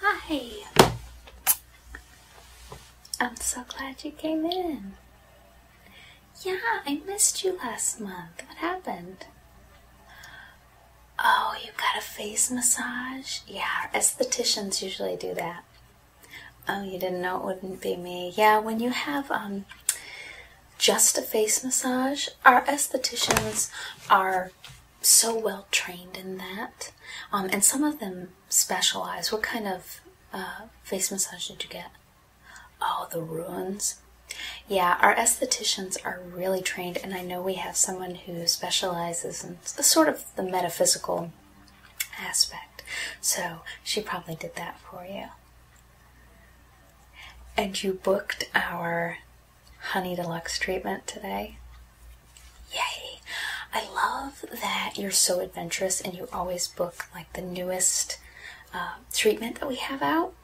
Hi! I'm so glad you came in. Yeah, I missed you last month. What happened? Oh, you got a face massage? Yeah, estheticians usually do that. Oh, you didn't know it wouldn't be me. Yeah, when you have um just a face massage, our estheticians are so well trained in that. Um, and some of them specialize. What kind of uh, face massage did you get? Oh, the ruins. Yeah, our estheticians are really trained, and I know we have someone who specializes in sort of the metaphysical aspect. So she probably did that for you. And you booked our Honey Deluxe treatment today. Yay! I love that you're so adventurous and you always book like the newest uh, treatment that we have out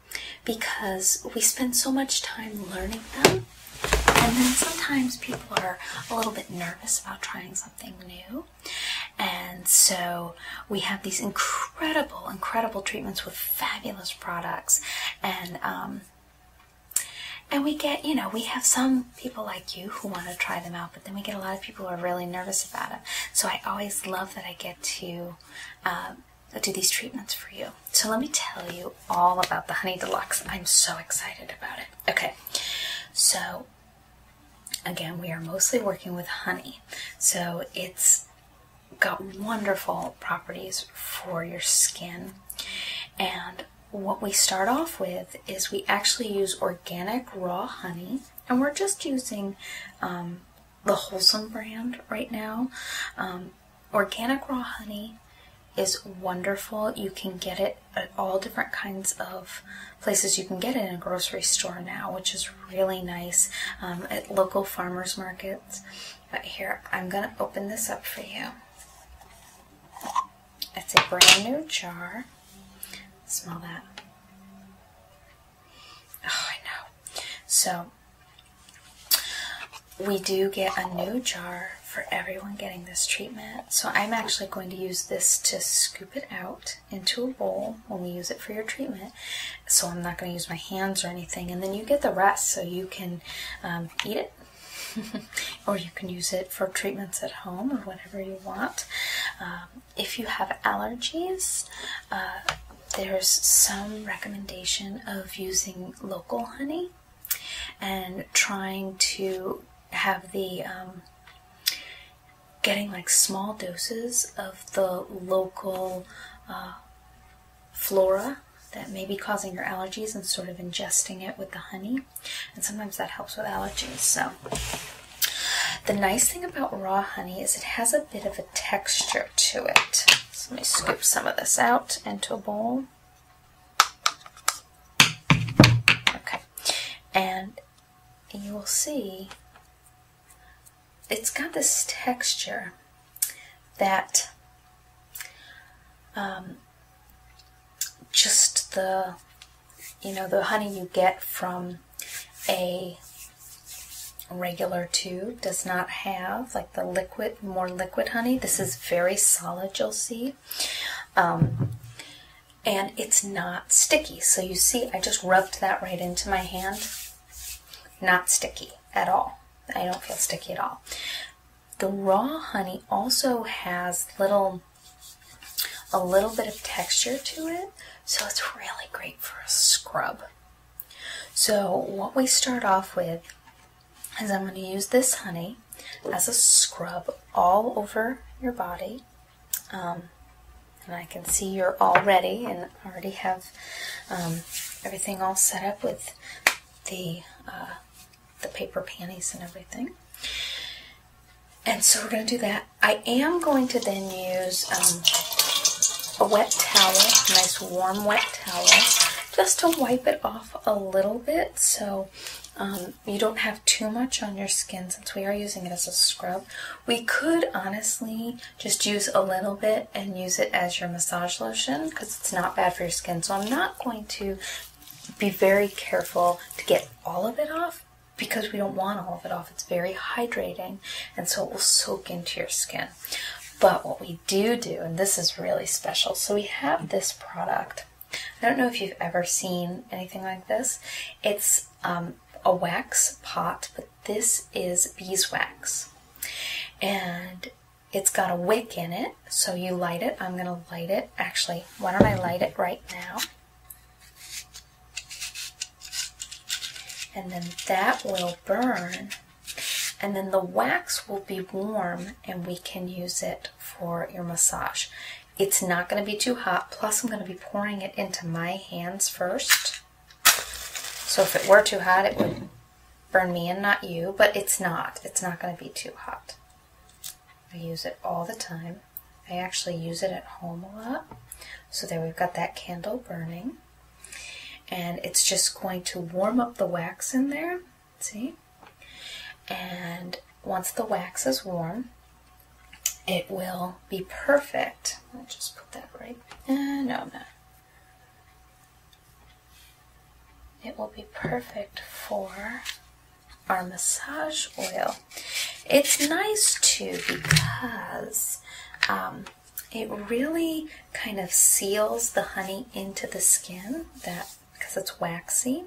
because we spend so much time learning them. And then sometimes people are a little bit nervous about trying something new. And so we have these incredible, incredible treatments with fabulous products. And um, and we get, you know, we have some people like you who want to try them out, but then we get a lot of people who are really nervous about it. So I always love that I get to um, do these treatments for you. So let me tell you all about the Honey Deluxe. I'm so excited about it. Okay, so again, we are mostly working with honey. So it's got wonderful properties for your skin. And what we start off with is we actually use organic raw honey, and we're just using um, the Wholesome brand right now. Um, organic raw honey is wonderful. You can get it at all different kinds of places. You can get it in a grocery store now, which is really nice um, at local farmers markets. But here, I'm going to open this up for you. It's a brand new jar. Smell that. Oh, I know. So, we do get a new jar for everyone getting this treatment. So I'm actually going to use this to scoop it out into a bowl when we use it for your treatment. So I'm not going to use my hands or anything. And then you get the rest so you can um, eat it. or you can use it for treatments at home or whatever you want. Um, if you have allergies, uh, there's some recommendation of using local honey and trying to have the um, getting like small doses of the local uh, flora that may be causing your allergies and sort of ingesting it with the honey. And sometimes that helps with allergies. So, the nice thing about raw honey is it has a bit of a texture to it. So, let me scoop some of this out into a bowl. Okay. And you will see it's got this texture that um, just the you know the honey you get from a regular tube does not have like the liquid more liquid honey this is very solid you'll see um, and it's not sticky so you see I just rubbed that right into my hand not sticky at all I don't feel sticky at all the raw honey also has little a little bit of texture to it so it's really great for a scrub so what we start off with is i'm going to use this honey as a scrub all over your body um, and i can see you're all ready and already have um, everything all set up with the uh, the paper panties and everything. And so we're going to do that. I am going to then use um, a wet towel, nice warm wet towel, just to wipe it off a little bit so um, you don't have too much on your skin since we are using it as a scrub. We could honestly just use a little bit and use it as your massage lotion because it's not bad for your skin. So I'm not going to be very careful to get all of it off because we don't want all of it off. It's very hydrating and so it will soak into your skin. But what we do do, and this is really special, so we have this product. I don't know if you've ever seen anything like this. It's um, a wax pot, but this is beeswax. And it's got a wick in it, so you light it. I'm going to light it. Actually, why don't I light it right now? And then that will burn. And then the wax will be warm and we can use it for your massage. It's not going to be too hot. Plus, I'm going to be pouring it into my hands first. So if it were too hot, it would burn me and not you, but it's not. It's not going to be too hot. I use it all the time. I actually use it at home a lot. So there we've got that candle burning. And it's just going to warm up the wax in there. See? And once the wax is warm, it will be perfect. I'll just put that right. Uh, no, it will be perfect for our massage oil. It's nice too because um, it really kind of seals the honey into the skin that because it's waxy.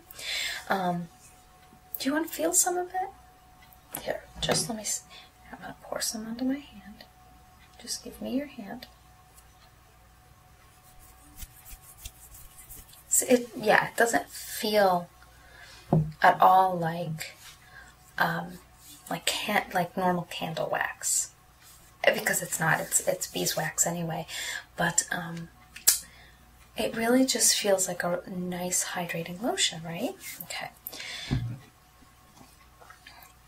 Um, do you want to feel some of it? Here, just let me, I'm going to pour some onto my hand. Just give me your hand. So it, yeah, it doesn't feel at all like um, like can not like normal candle wax because it's not it's it's beeswax anyway, but um, it really just feels like a nice hydrating lotion, right? Okay,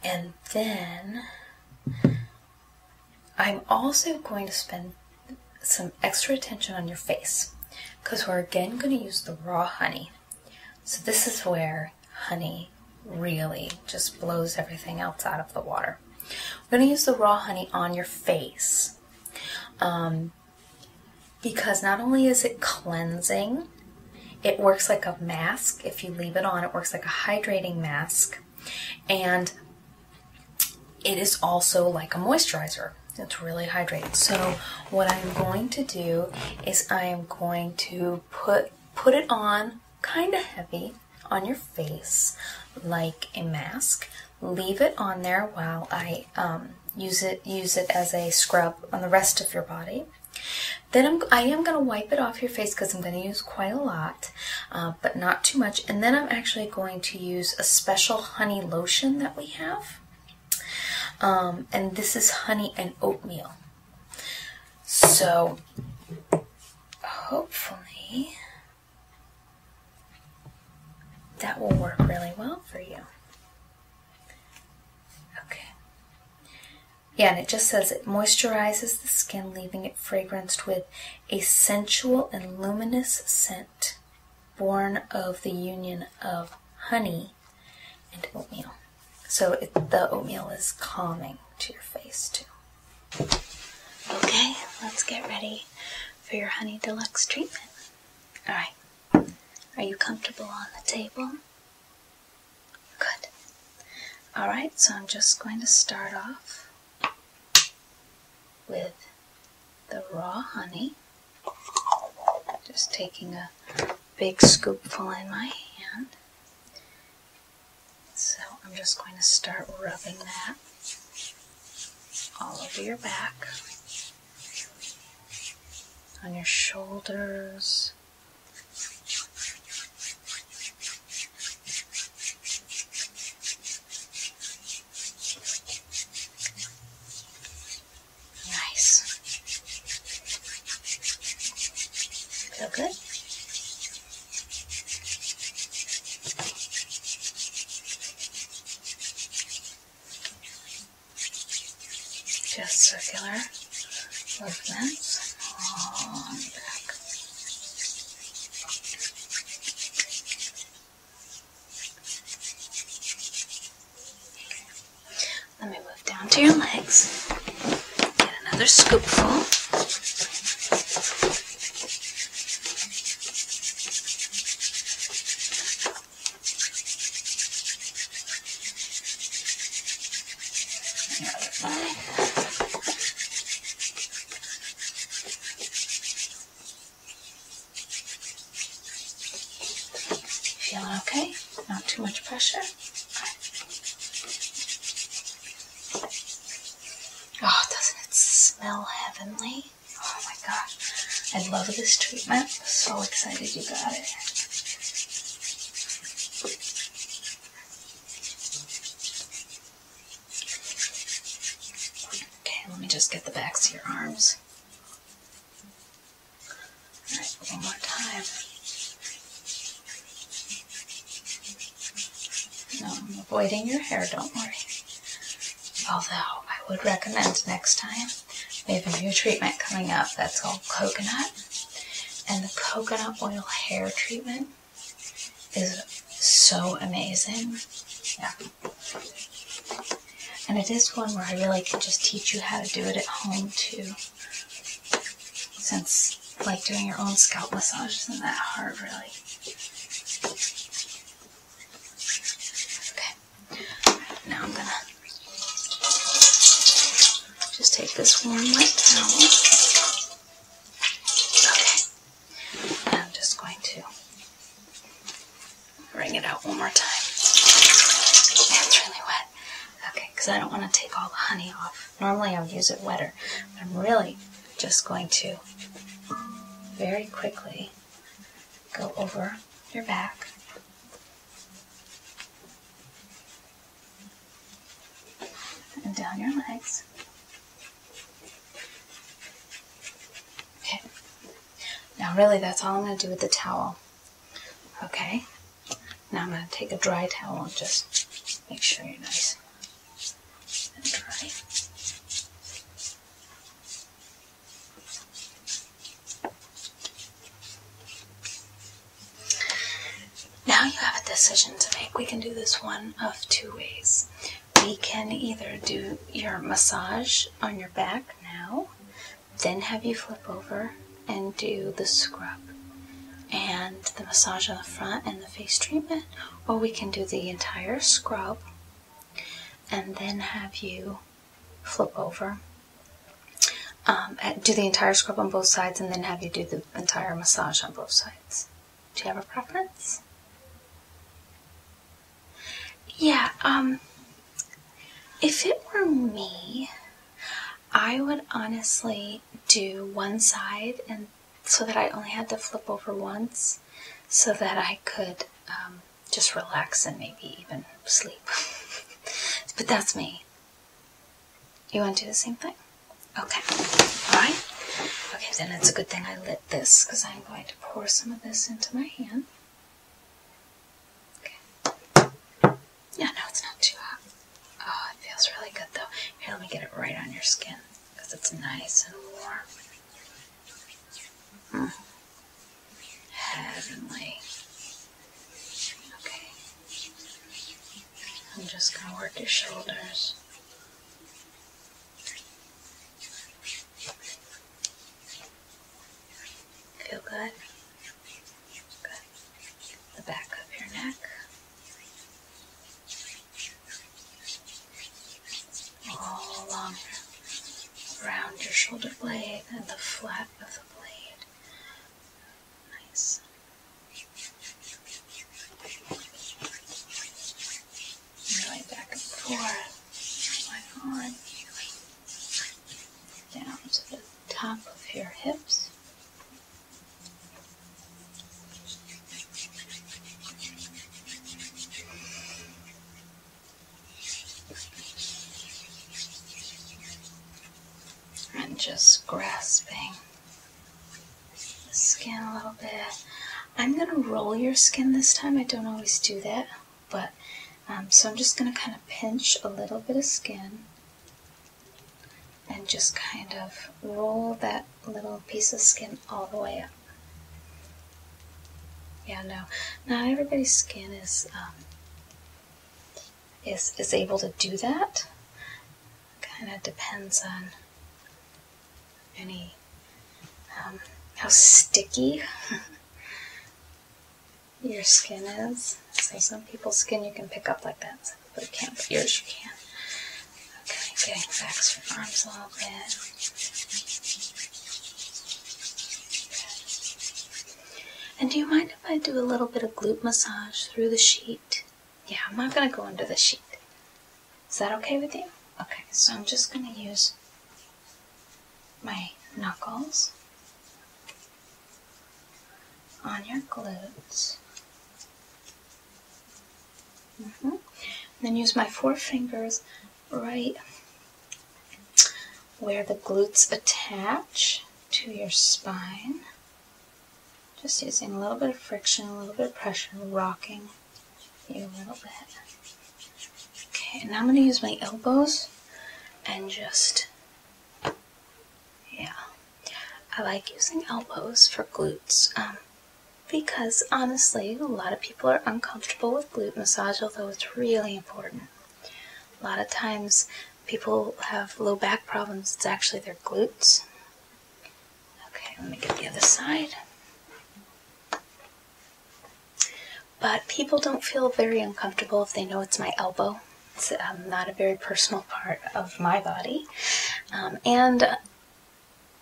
and then I'm also going to spend some extra attention on your face because we're again going to use the raw honey. So this is where honey really just blows everything else out of the water. We're going to use the raw honey on your face um, because not only is it cleansing, it works like a mask. If you leave it on, it works like a hydrating mask and it is also like a moisturizer. It's really hydrating. So what I'm going to do is I am going to put put it on kind of heavy on your face like a mask. Leave it on there while I um, use it use it as a scrub on the rest of your body. Then I am going to wipe it off your face because I'm going to use quite a lot. Uh, but not too much. And then I'm actually going to use a special honey lotion that we have. Um, and this is honey and oatmeal. So hopefully that will work really well for you. Okay. Yeah, and it just says it moisturizes the skin, leaving it fragranced with a sensual and luminous scent born of the union of honey and oatmeal. So the oatmeal is calming to your face, too. Okay, let's get ready for your Honey Deluxe treatment. Alright, are you comfortable on the table? Good. Alright, so I'm just going to start off with the raw honey. Just taking a big scoopful in my hand. So I'm just going to start rubbing that all over your back, on your shoulders, Nice. Feel good? Just circular movements all on the back. Let me move down to your legs. Get another scoopful. Feeling okay? Not too much pressure? Oh, doesn't it smell heavenly? Oh my god, I love this treatment. So excited you got it. Okay, let me just get the backs of your arms. All right, one more time. No, I'm avoiding your hair, don't worry. Although, I would recommend next time, we have a new treatment coming up that's called coconut. And the coconut oil hair treatment is so amazing. Yeah. And it is one where I really can just teach you how to do it at home too. Since like doing your own scalp massage isn't that hard really. Okay. Now I'm gonna just take this warm wet towel Okay. I'm just going to wring it out one more time. It's really wet. Okay, because I don't want to take all the honey off. Normally I would use it wetter. I'm really just going to very quickly go over your back and down your legs. Okay. Now really that's all I'm going to do with the towel. Okay. Now I'm going to take a dry towel and just make sure you're nice and dry. Now you have a decision to make. We can do this one of two ways. We can either do your massage on your back now, then have you flip over and do the scrub and the massage on the front and the face treatment, or we can do the entire scrub and then have you flip over. Um, do the entire scrub on both sides and then have you do the entire massage on both sides. Do you have a preference? Yeah, um, if it were me, I would honestly do one side and so that I only had to flip over once so that I could um, just relax and maybe even sleep. but that's me. You want to do the same thing? Okay. Alright. Okay, then it's a good thing I lit this because I'm going to pour some of this into my hand. Okay. Yeah, no, it's not too hot. Oh, it feels really good though. Here, let me get it right on your skin because it's nice and warm. Hmm. Heavenly. Okay. I'm just going to work your shoulders. Feel good? The back of your neck. All along around your shoulder blade and the flat of the blade. Nice Really back and forth, like on, down to the top of your hips. And just grasping skin a little bit. I'm going to roll your skin this time. I don't always do that, but um, so I'm just going to kind of pinch a little bit of skin and just kind of roll that little piece of skin all the way up. Yeah, no, not everybody's skin is um, is is able to do that kind of depends on any um, how sticky your skin is. So some people's skin you can pick up like that, but you can't. But yours you can. Okay, getting back to from arms a little bit. And do you mind if I do a little bit of glute massage through the sheet? Yeah, I'm not gonna go under the sheet. Is that okay with you? Okay, so I'm just gonna use my knuckles on your glutes. Mm -hmm. Then use my four fingers right where the glutes attach to your spine. Just using a little bit of friction, a little bit of pressure, rocking you a little bit. Okay, now I'm going to use my elbows and just, yeah. I like using elbows for glutes um, because honestly, a lot of people are uncomfortable with glute massage, although it's really important. A lot of times people have low back problems, it's actually their glutes Okay, let me get the other side. But people don't feel very uncomfortable if they know it's my elbow. It's um, not a very personal part of my body. Um, and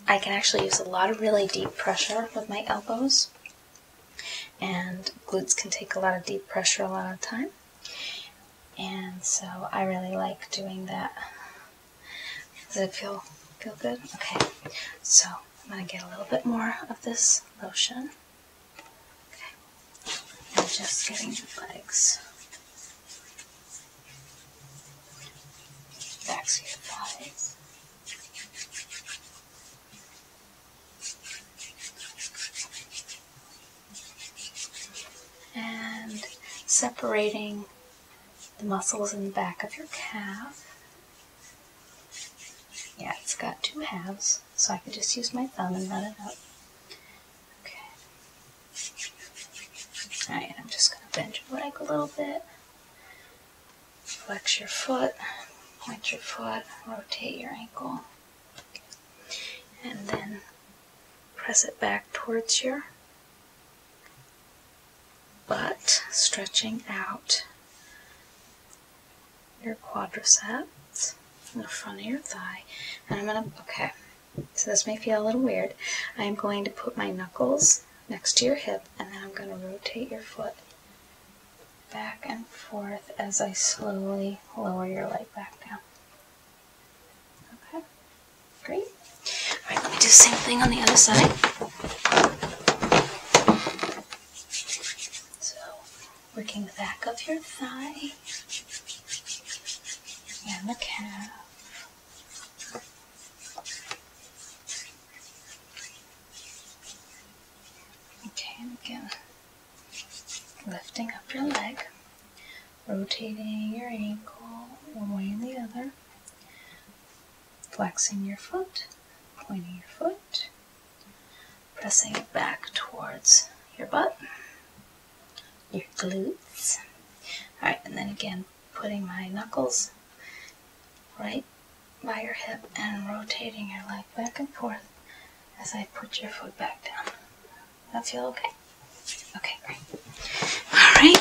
I can actually use a lot of really deep pressure with my elbows. And glutes can take a lot of deep pressure a lot of time. And so I really like doing that does it feel feel good? Okay. So I'm gonna get a little bit more of this lotion. Okay. just getting the legs. Back thighs. And separating the muscles in the back of your calf. Yeah, it's got two halves, so I can just use my thumb and rub it up. Okay. Alright, I'm just going to bend your leg a little bit. Flex your foot, point your foot, rotate your ankle. And then press it back towards your but stretching out your quadriceps in the front of your thigh. And I'm gonna, okay, so this may feel a little weird. I'm going to put my knuckles next to your hip and then I'm gonna rotate your foot back and forth as I slowly lower your leg back down. Okay, great. All right, let me do the same thing on the other side. So, working the back of your thigh and the calf. Okay, and again, lifting up your leg rotating your ankle one way and the other, flexing your foot, pointing your foot, pressing it back towards your butt, your glutes. Alright, and then again, putting my knuckles right by your hip and rotating your leg back and forth as I put your foot back down. That feel okay? Okay, great. All right.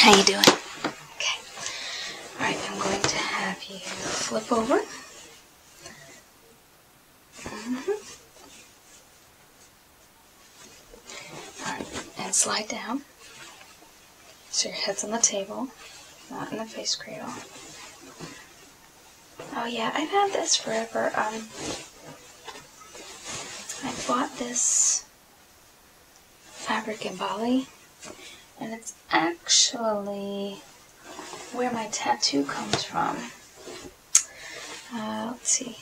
How you doing? Okay. All right, I'm going to have you flip over. -hmm. All right, and slide down. So your head's on the table, not in the face cradle. Oh yeah, I've had this forever. Um, I bought this fabric in Bali and it's actually where my tattoo comes from. Uh, let's see.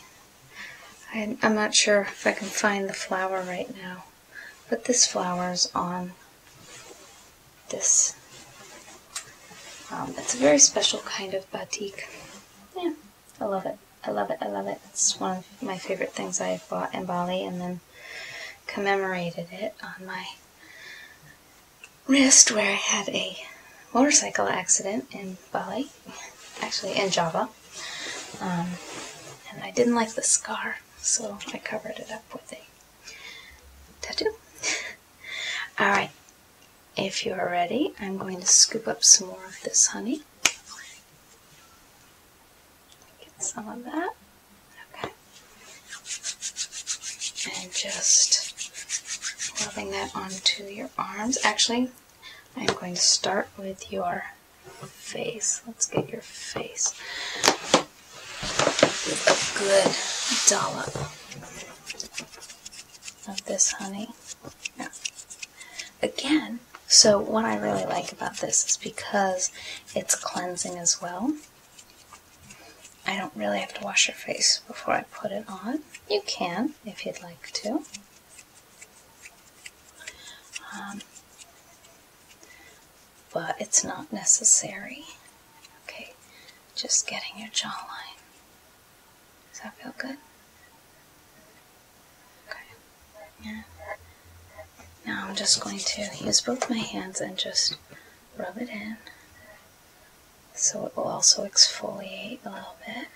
I, am not sure if I can find the flower right now, but this flower is on this. Um, it's a very special kind of batik. Yeah. I love it. I love it. I love it. It's one of my favorite things I have bought in Bali and then commemorated it on my wrist where I had a motorcycle accident in Bali, actually in Java. Um, and I didn't like the scar, so I covered it up with a tattoo. Alright, if you are ready, I'm going to scoop up some more of this honey. Get some of that. Okay. And just rubbing that onto your arms. Actually, I'm going to start with your face. Let's get your face. a Good dollop of this honey. Yeah. Again, so what I really like about this is because it's cleansing as well. I don't really have to wash your face before I put it on. You can if you'd like to. Um, but it's not necessary. Okay, just getting your jawline. Does that feel good? Okay. Yeah. Now I'm just going to use both my hands and just rub it in. So it will also exfoliate a little bit.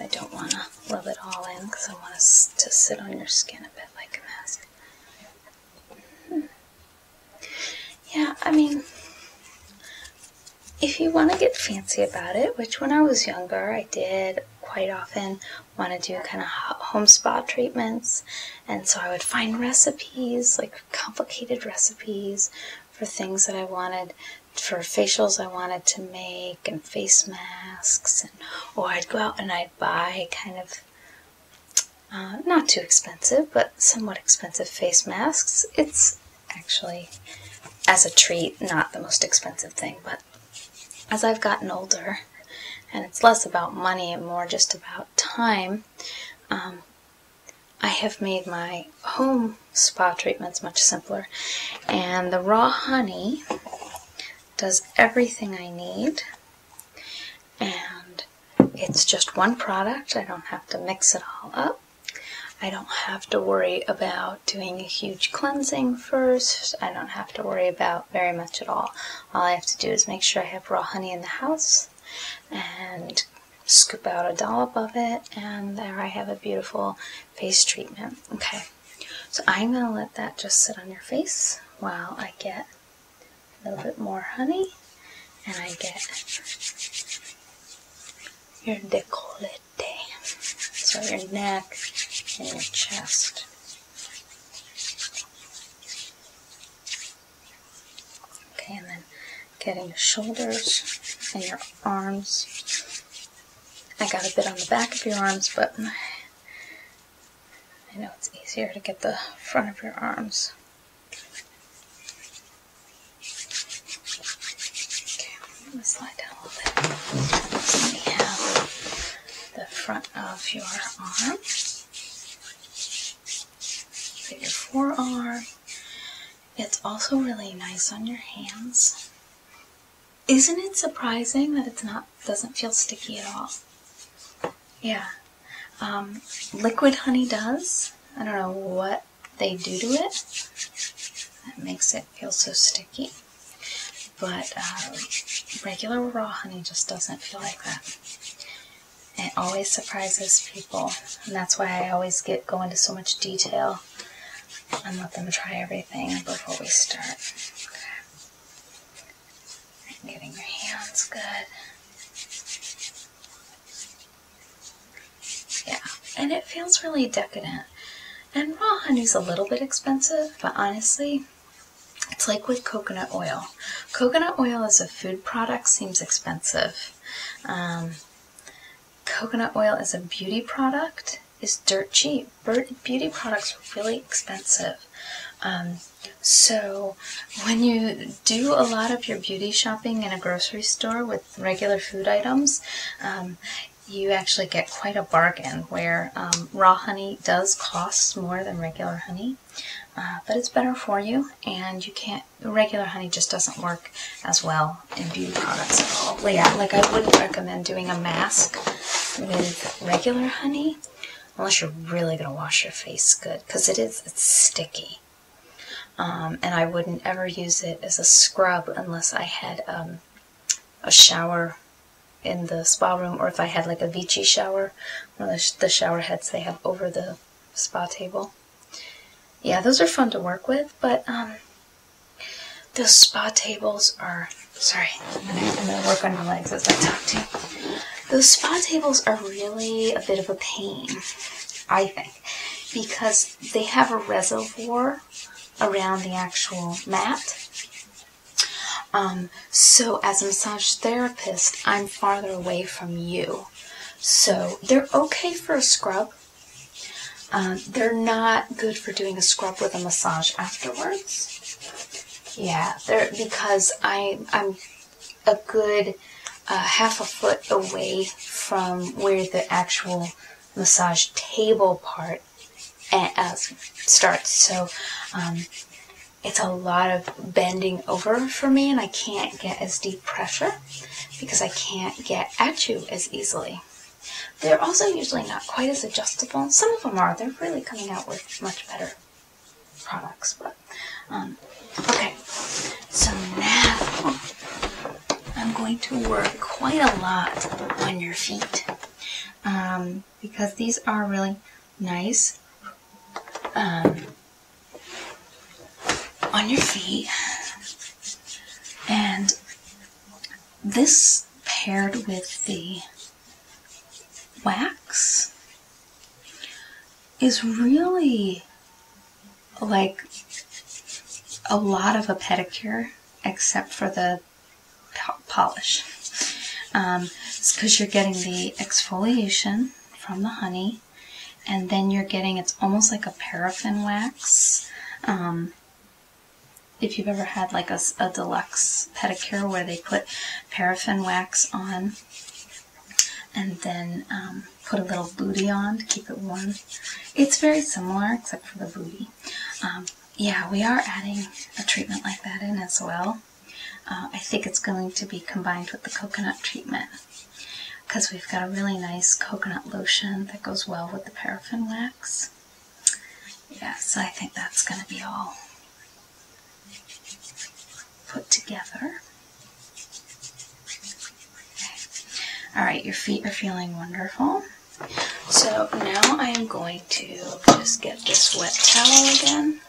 I don't want to rub it all in because I want it to sit on your skin a bit like a mask. Hmm. Yeah, I mean, if you want to get fancy about it, which when I was younger I did quite often want to do kind of home spa treatments, and so I would find recipes, like complicated recipes for things that I wanted for facials I wanted to make and face masks and or I'd go out and I'd buy kind of uh, not too expensive, but somewhat expensive face masks. It's actually, as a treat, not the most expensive thing, but as I've gotten older, and it's less about money and more just about time, um, I have made my home spa treatments much simpler. And the raw honey does everything I need. And it's just one product. I don't have to mix it all up. I don't have to worry about doing a huge cleansing first. I don't have to worry about very much at all. All I have to do is make sure I have raw honey in the house and scoop out a dollop of it, and there I have a beautiful face treatment. Okay, so I'm going to let that just sit on your face while I get a little bit more honey and I get your décolleté, so your neck and your chest. Okay, and then getting your shoulders and your arms. I got a bit on the back of your arms, but I know it's easier to get the front of your arms. Okay, I'm slide down a little bit. So we have the front of your arm, your forearm. It's also really nice on your hands. Isn't it surprising that it's not doesn't feel sticky at all? Yeah. Um, liquid honey does. I don't know what they do to it that makes it feel so sticky. But um, regular raw honey just doesn't feel like that. It always surprises people, and that's why I always get go into so much detail and let them try everything before we start. getting your hands good. Yeah, and it feels really decadent. And raw honey's a little bit expensive, but honestly, it's like with coconut oil. Coconut oil as a food product seems expensive. Um, coconut oil as a beauty product is dirt cheap. Beauty products are really expensive. Um, so when you do a lot of your beauty shopping in a grocery store with regular food items, um, you actually get quite a bargain where um, raw honey does cost more than regular honey, uh, but it's better for you and you can't, regular honey just doesn't work as well in beauty products at all. yeah, like I wouldn't recommend doing a mask with regular honey unless you're really going to wash your face good because it is, it's sticky. Um, and I wouldn't ever use it as a scrub unless I had um, a shower in the spa room or if I had like a Vichy shower, one of the, shower heads they have over the spa table. Yeah, those are fun to work with, but um, those spa tables are, sorry, I'm going to work on my legs as I talk to you. Those spa tables are really a bit of a pain, I think because they have a reservoir around the actual mat. Um, so as a massage therapist, I'm farther away from you. So they're okay for a scrub. Um, they're not good for doing a scrub with a massage afterwards. Yeah, they're because I'm a good half a foot away from where the actual massage table part eh, uh, starts. So um, it's a lot of bending over for me, and I can't get as deep pressure because I can't get at you as easily. They're also usually not quite as adjustable. Some of them are. They're really coming out with much better products. But um, okay, so now I'm going to work quite a lot on your feet um, because these are really nice um, on your feet. And this paired with the wax is really like a lot of a pedicure except for the polish. because um, you're getting the exfoliation from the honey and then you're getting, it's almost like a paraffin wax. Um, if you've ever had like a, deluxe pedicure where they put paraffin wax on and then um, put a little booty on to keep it warm. It's very similar except for the booty. Um, yeah, we are adding a treatment like that in as well. Uh, I think it's going to be combined with the coconut treatment because we've got a really nice coconut lotion that goes well with the paraffin wax. Yes, I think that's going to be all put together. All right, your feet are feeling wonderful. So now I am going to just get this wet towel again.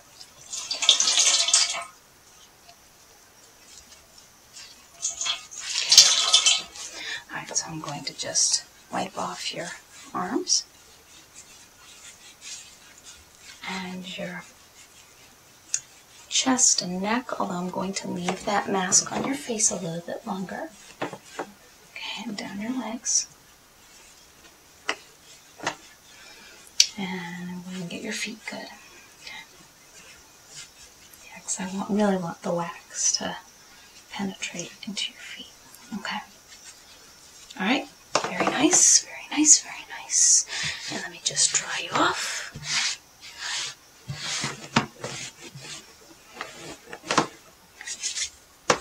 All right, so I'm going to just wipe off your arms and your chest and neck, although I'm going to leave that mask on your face a little bit longer. Okay, and down your legs. And I'm going to get your feet good. Okay. because I really want the wax to penetrate into your feet. Okay. All right. Very nice. Very nice. Very nice. And let me just dry you off.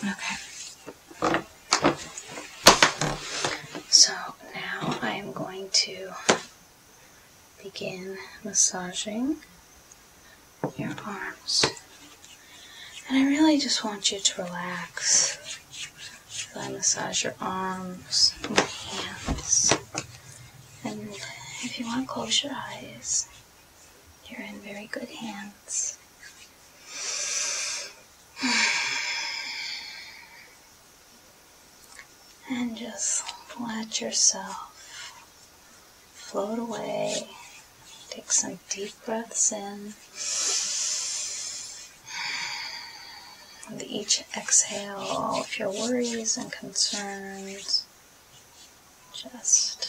Okay. So now I am going to begin massaging your arms. And I really just want you to relax. So I massage your arms and your hands. And if you want to close your eyes, you're in very good hands. And just let yourself float away. Take some deep breaths in. With each exhale, all of your worries and concerns just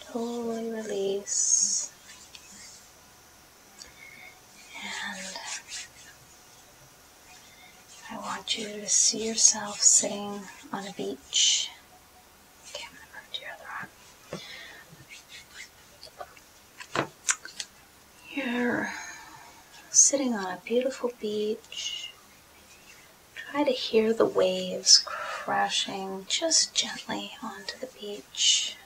totally release and I want you to see yourself sitting on a beach. You're sitting on a beautiful beach Try to hear the waves crashing just gently onto the beach.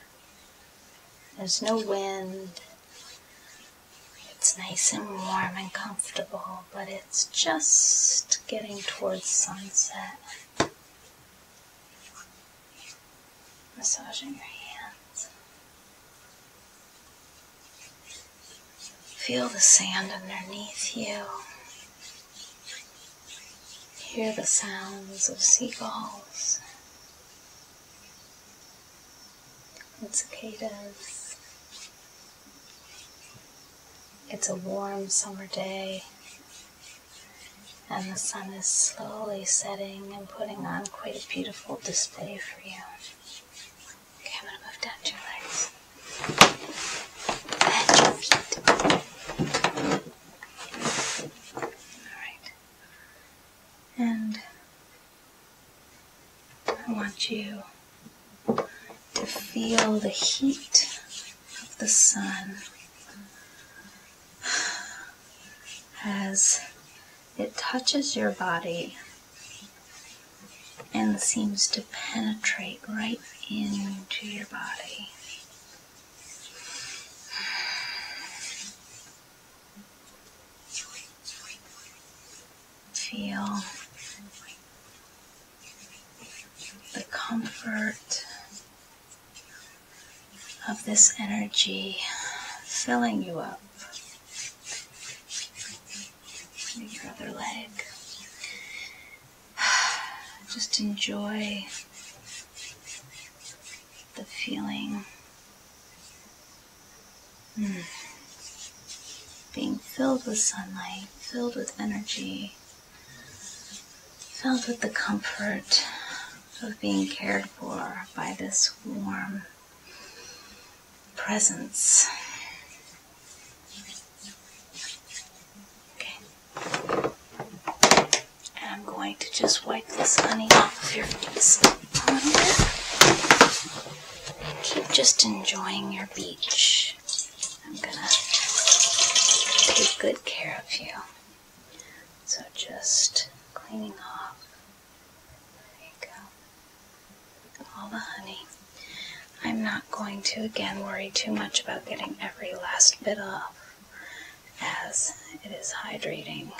There's no wind. It's nice and warm and comfortable, but it's just getting towards sunset. Massaging your hands. Feel the sand underneath you. Hear the sounds of seagulls and cicadas. It's a warm summer day, and the sun is slowly setting and putting on quite a beautiful display for you. Okay, I'm gonna move down your legs and your feet. Alright. And I want you to feel the heat of the sun as it touches your body and seems to penetrate right into your body. Feel the comfort of this energy filling you up. Your other leg. Just enjoy the feeling. Hmm. Being filled with sunlight, filled with energy, filled with the comfort of being cared for by this warm, presents. Okay. And I'm going to just wipe this honey off of your face a little bit. keep just enjoying your beach. I'm gonna take good care of you. So just cleaning off there you go. All the honey. I'm not going to again worry too much about getting every last bit off, as it is hydrating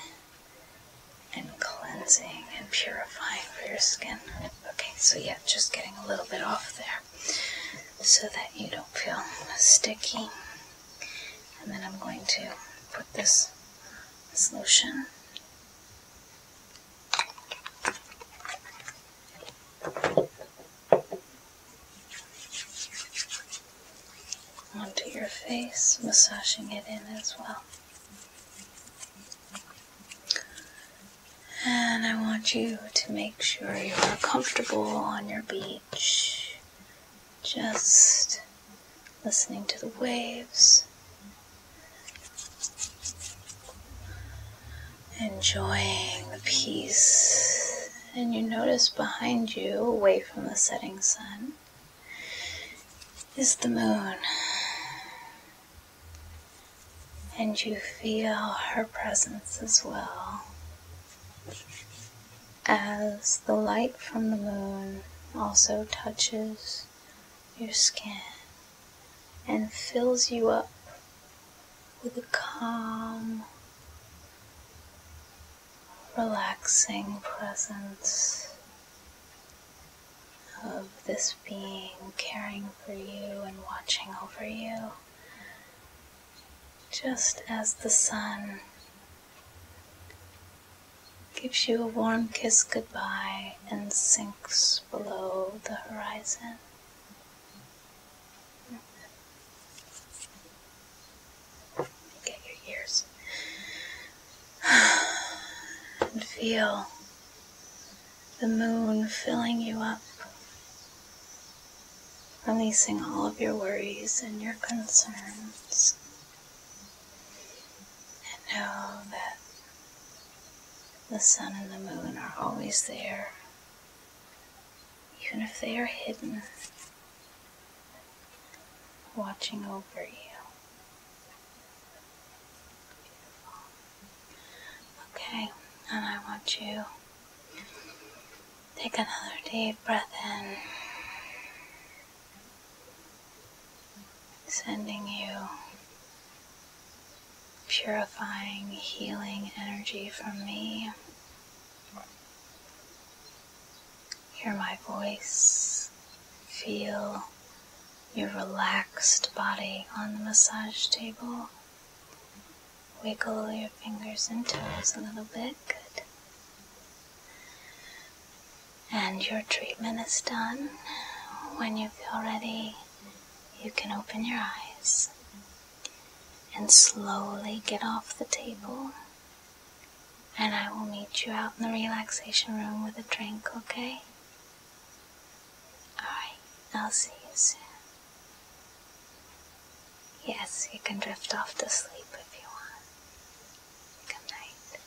and cleansing and purifying for your skin. Okay, so yeah, just getting a little bit off there so that you don't feel sticky. And then I'm going to put this, solution. Onto your face, massaging it in as well. And I want you to make sure you are comfortable on your beach, just listening to the waves, Enjoying the peace. And you notice behind you, away from the setting sun, is the moon. And you feel her presence as well as the light from the moon also touches your skin and fills you up with a calm, relaxing presence of this being caring for you and watching over you, just as the sun gives you a warm kiss goodbye and sings below the horizon. Get your ears and feel the moon filling you up, releasing all of your worries and your concerns, and know that the sun and the moon are always there, even if they are hidden, watching over you. Okay, and I want you take another deep breath in sending you purifying, healing energy from me. Hear my voice, feel your relaxed body on the massage table. Wiggle your fingers and toes a little bit. Good. And your treatment is done. When you feel ready, you can open your eyes and slowly get off the table. And I will meet you out in the relaxation room with a drink, okay? Alright, I'll see you soon. Yes, you can drift off to sleep if you want. Good night.